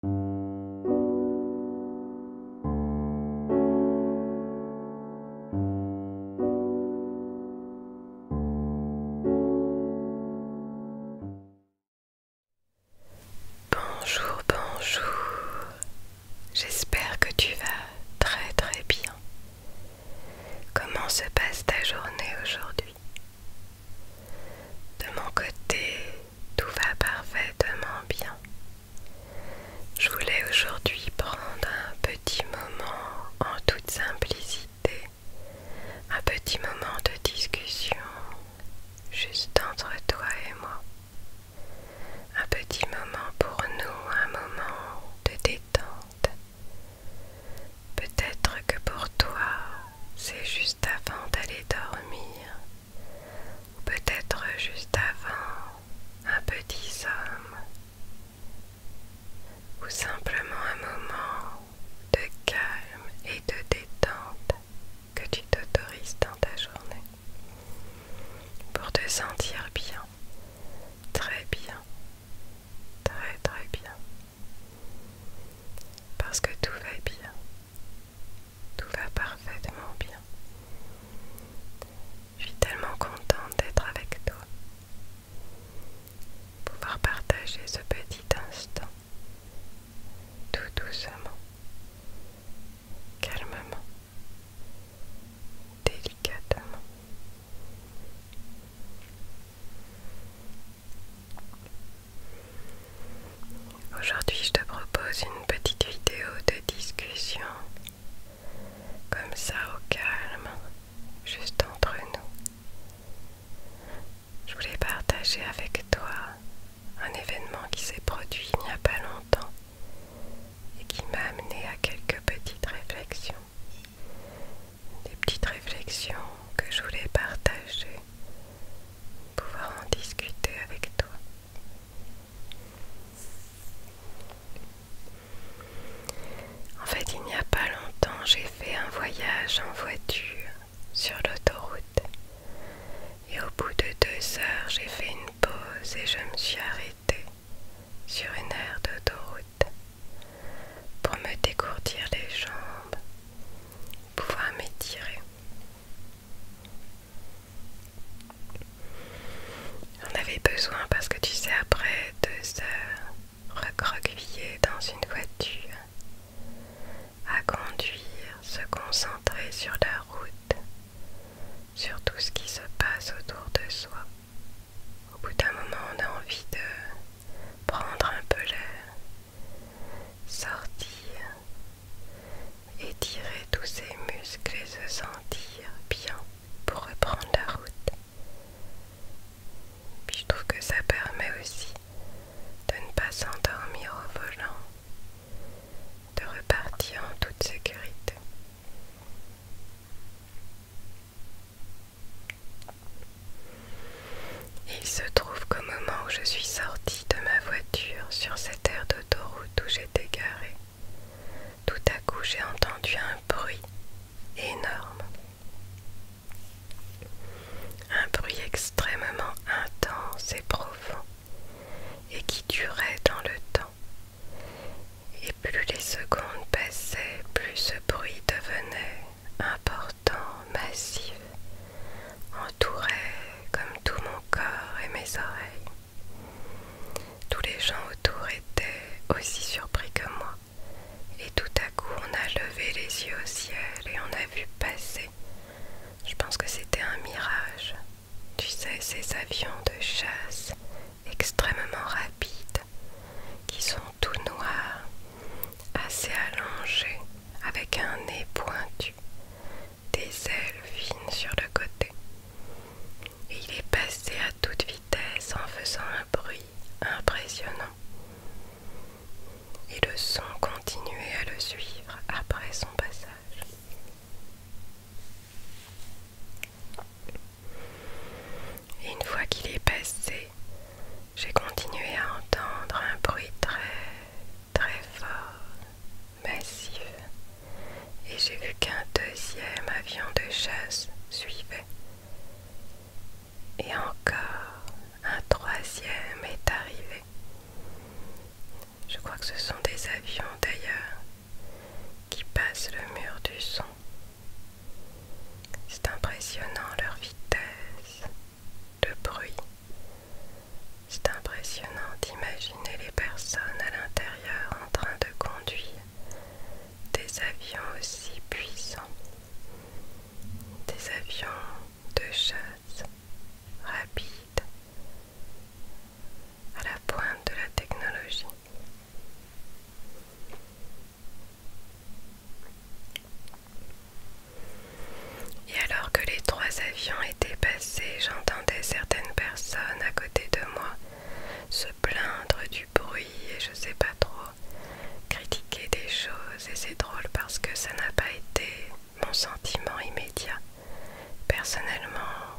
Bonjour, bonjour. J'espère que tu vas très très bien. Comment se passe ta journée aujourd'hui De mon côté, tout va parfaitement bien. Je voulais aujourd'hui prendre un petit moment en toute simplicité, un petit moment de discussion juste entre toi et moi. Un petit moment pour nous, un moment de détente. Peut-être que pour toi, c'est juste avant d'aller dormir, ou peut-être juste avant un petit somme, ou simplement un moment de calme et de détente que tu t'autorises dans ta journée pour te sentir bien, très bien, très très bien, parce que tout va bien. Tout va parfaitement bien. Je suis tellement contente d'être avec toi. Pouvoir partager ce petit instant tout doucement, calmement, délicatement. Aujourd'hui, je te propose une petite vidéo de discussion, comme ça au calme, juste entre nous. Je voulais partager avec toi un événement qui s'est produit il n'y a pas longtemps et qui m'a amené à quelques petites réflexions des petites réflexions que je voulais partager, pouvoir en discuter avec toi. En fait, il n'y a pas longtemps, j'ai fait un voyage en voiture sur l'autoroute. Et au bout de deux heures, j'ai fait une pause et je me suis arrêtée sur une aire d'autoroute pour me décourdir les jambes, pouvoir m'étirer. J'en avais besoin parce que tu sais, après deux heures recroquevillé dans une voiture, à conduire, se concentrer sur la route, sur tout ce qui se passe autour de soi. Au bout d'un moment, on a envie de prendre un peu l'air, sortir, étirer tous ses muscles et se sentir bien pour reprendre la route. Puis je trouve que ça permet aussi de ne pas s'endormir au volant, de repartir en toute sécurité il se trouve qu'au moment où je suis sortie de ma voiture sur cette aire d'autoroute où j'étais garée, tout à coup j'ai entendu un bruit énorme. Un bruit extrêmement intense et profond et qui durait dans le temps. Et plus les secondes passaient, plus ce bruit devenait important, massif, entourait comme tout mon corps et mes oreilles. Tous les gens autour étaient aussi surpris que moi, et tout à coup on a levé les yeux au ciel et on a vu passer. Je pense que c'était un mirage. Tu sais, ces avions de chasse extrêmement rapides qui sont tout noir, assez allongé, avec un nez pointu, des ailes fines sur le côté. Et il est passé à toute vitesse en faisant un bruit impressionnant. Et le son continuait à le suivre après son passage. Et une fois qu'il est passé, j'ai continué à entendre un bruit très très fort, massif, et j'ai vu qu'un deuxième avion de chasse suivait. Et encore, un troisième est arrivé. Je crois que ce sont des avions d'ailleurs qui passent le mur du son c'est impressionnant leur vitesse, le bruit. C'est impressionnant d'imaginer les personnes à l'intérieur en train de conduire des avions aussi puissants, des avions de chasse rapides à la pointe de la technologie. Et alors que les trois avions étaient passés, j'entendais certaines personnes à côté de moi se plaindre du bruit et je sais pas trop, critiquer des choses et c'est drôle parce que ça n'a pas été mon sentiment immédiat. Personnellement,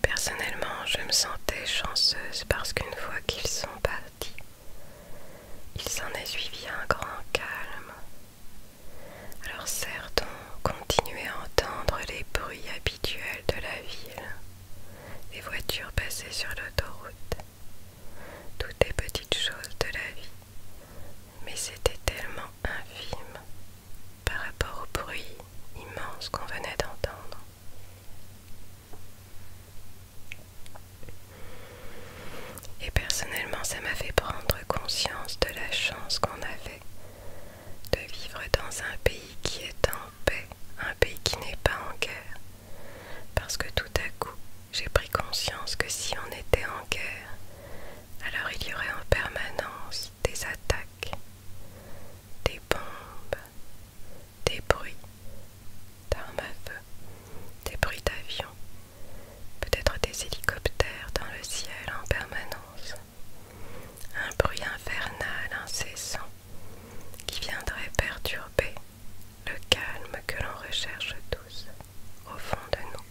Personnellement, je me sentais chanceuse parce qu'une fois qu'ils sont partis, il s'en est suivi un grand calme. Alors certes, on continuait à entendre les bruits habituels de la ville, les voitures passées sur l'autoroute, toutes les petites choses de la vie, mais c'était tellement infime par rapport au bruit immense qu'on venait d'entendre. Et personnellement, ça m'a fait prendre conscience de la chance qu'on avait de vivre dans un pays qui est en paix, un pays qui n'est pas en guerre. Parce que tout à coup, j'ai pris conscience que si on était en guerre, alors il y aurait en permanence des attaques, des bombes, des bruits d'armes à feu, des bruits d'avions, peut-être des hélicoptères dans le ciel en permanence, un bruit infernal incessant qui viendrait perturber le calme que l'on recherche tous au fond de nous.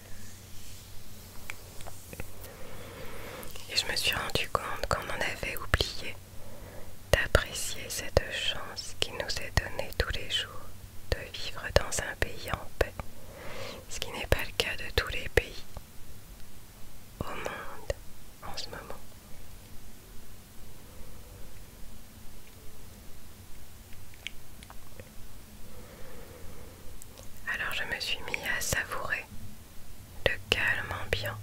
Et je me suis rendu compte qu'on en avait oublié d'apprécier cette chance qui nous est donnée tous les jours de vivre dans un pays en paix, ce qui n'est pas le cas de tous les pays au monde en ce moment. Alors je me suis mis à savourer de calme ambiant,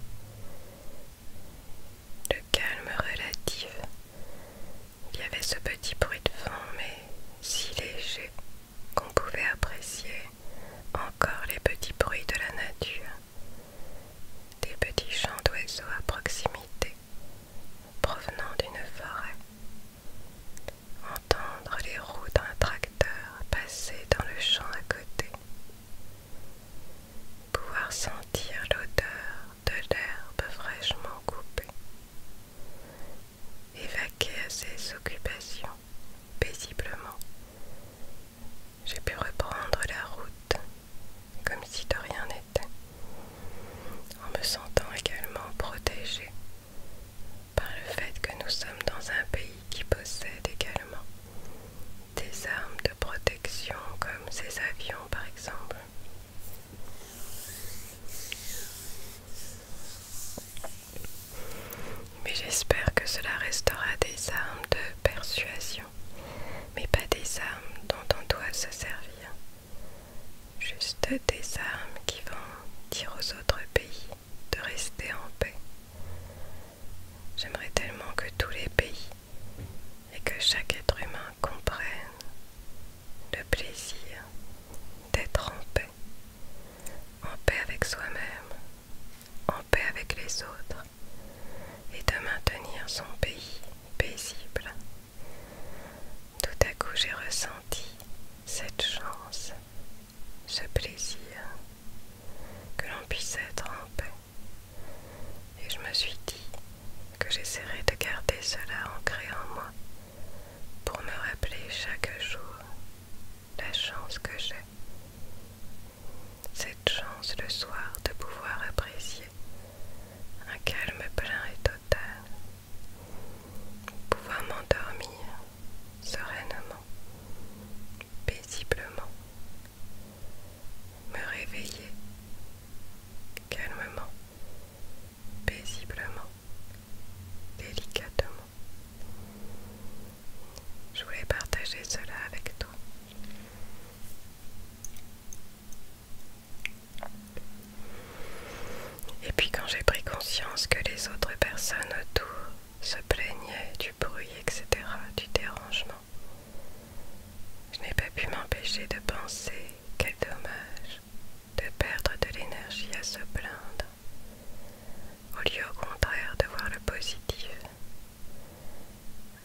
de calme relatif. Il y avait ce petit bruit de fond, mais si léger qu'on pouvait apprécier encore les petits bruits de la nature, des petits chants d'oiseaux à proximité, provenant d'une forêt. Entendre les roues d'un tracteur passer dans le champ à côté, pouvoir sentir l'odeur de l'herbe fraîchement coupée, évaquer à ses occupations paisiblement. J'ai pu reprendre la route comme si de rien n'était, en me sentant également protégée par le fait que nous sommes dans un pays qui possède également des armes de protection comme ces avions par exemple. Mais j'espère que cela restera des armes de persuasion, mais pas des armes dont on doit se servir. Juste des armes qui vont dire aux autres pays de rester en paix. J'aimerais tellement que tous les pays et que chaque être humain comprenne le plaisir d'être en paix, en paix avec soi-même, en paix avec les autres et de maintenir son pays paisible. Tout à coup j'ai ressenti cette chance ce plaisir, que l'on puisse être en paix. Et je me suis dit que j'essaierai de garder cela ancré en moi pour me rappeler chaque jour la chance que j'ai. Cette chance le soir de pouvoir apprécier un calme plein et total pouvoir m'endormir sereinement, paisiblement, me réveiller calmement, paisiblement, délicatement. Je voulais partager cela avec toi. Et puis quand j'ai pris conscience que les autres personnes autour se plaignaient du bruit, etc., du dérangement, je n'ai pas pu m'empêcher de penser quel dommage de perdre de l'énergie à se plaindre, au lieu au contraire de voir le positif.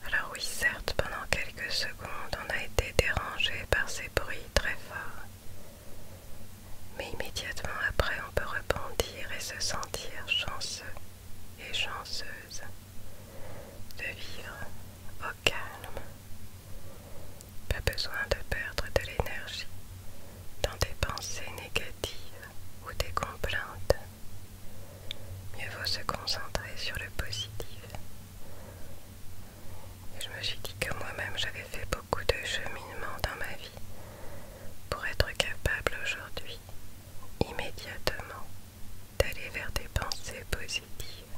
Alors oui, certes, pendant quelques secondes, on a été dérangé par ces bruits très forts mais immédiatement après, on peut rebondir et se sentir chanceux et chanceuse de vivre au calme. Pas besoin de perdre de l'énergie dans des pensées négatives ou des complaintes. Mieux vaut se concentrer sur le positif et je me suis dit que moi-même j'avais fait beaucoup de cheminement dans ma vie pour être capable aujourd'hui, immédiatement, d'aller vers des pensées positives.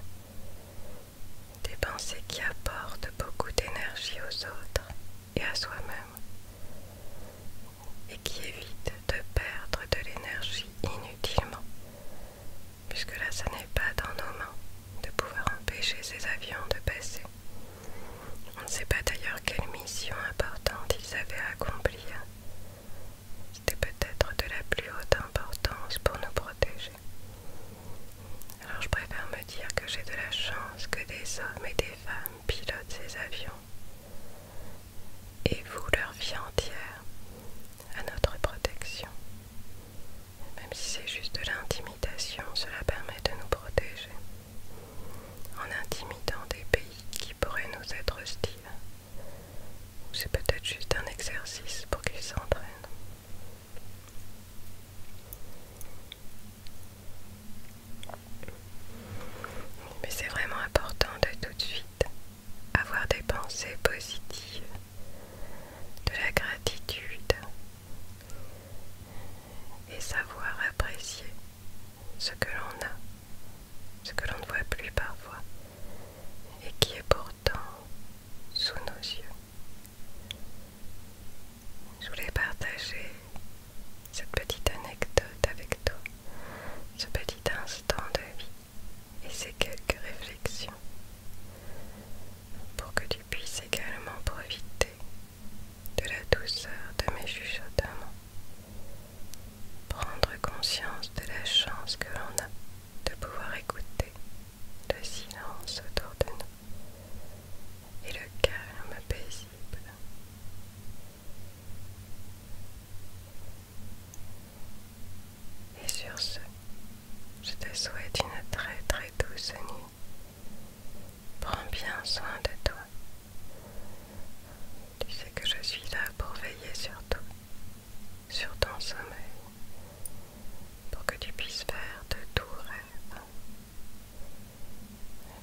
Des pensées qui apportent beaucoup d'énergie aux autres et à soi-même et qui évitent de perdre de l'énergie inutilement puisque là, ça n'est pas dans nos mains de pouvoir empêcher ces avions de passer. On ne sait pas d'ailleurs quelle mission importante ils avaient à accomplir. C'était peut-être de la plus haute importance pour nous protéger. Alors je préfère me dire que j'ai de la chance que des hommes et des femmes pilotent ces avions et vouent leur vie entière à notre protection. Même si c'est juste de l'intimidation, cela permet de nous protéger en intimidant des pays qui pourraient nous être hostiles. C'est peut-être juste un exercice pour qu'ils s'entraînent. Mais c'est vraiment important de tout de suite avoir des pensées positives de la gratitude et savoir apprécier ce que l'on a, ce que l'on ne voit plus parfois et qui est pourtant sous nos yeux. Je voulais partager cette petite anecdote avec toi, ce petit instant de vie et ces quelques réflexions pour que tu puisses également profiter de la douceur de mes chuchotements, prendre conscience de la chance que l'on a de pouvoir écouter le silence autour de nous et le calme paisible. Et sur ce, je te souhaite une très très douce nuit. Prends bien soin de toi. Tu sais que je suis là pour veiller sur toi, sur ton sommeil, pour que tu puisses faire de doux rêves,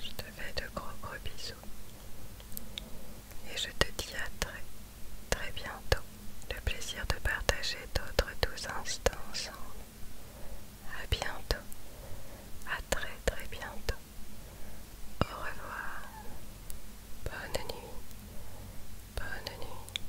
Je te fais de gros gros bisous et je te dis à très très bientôt le plaisir de partager d'autres douze instants ensemble. À bientôt, à très très bientôt. Au revoir, bonne nuit, bonne nuit.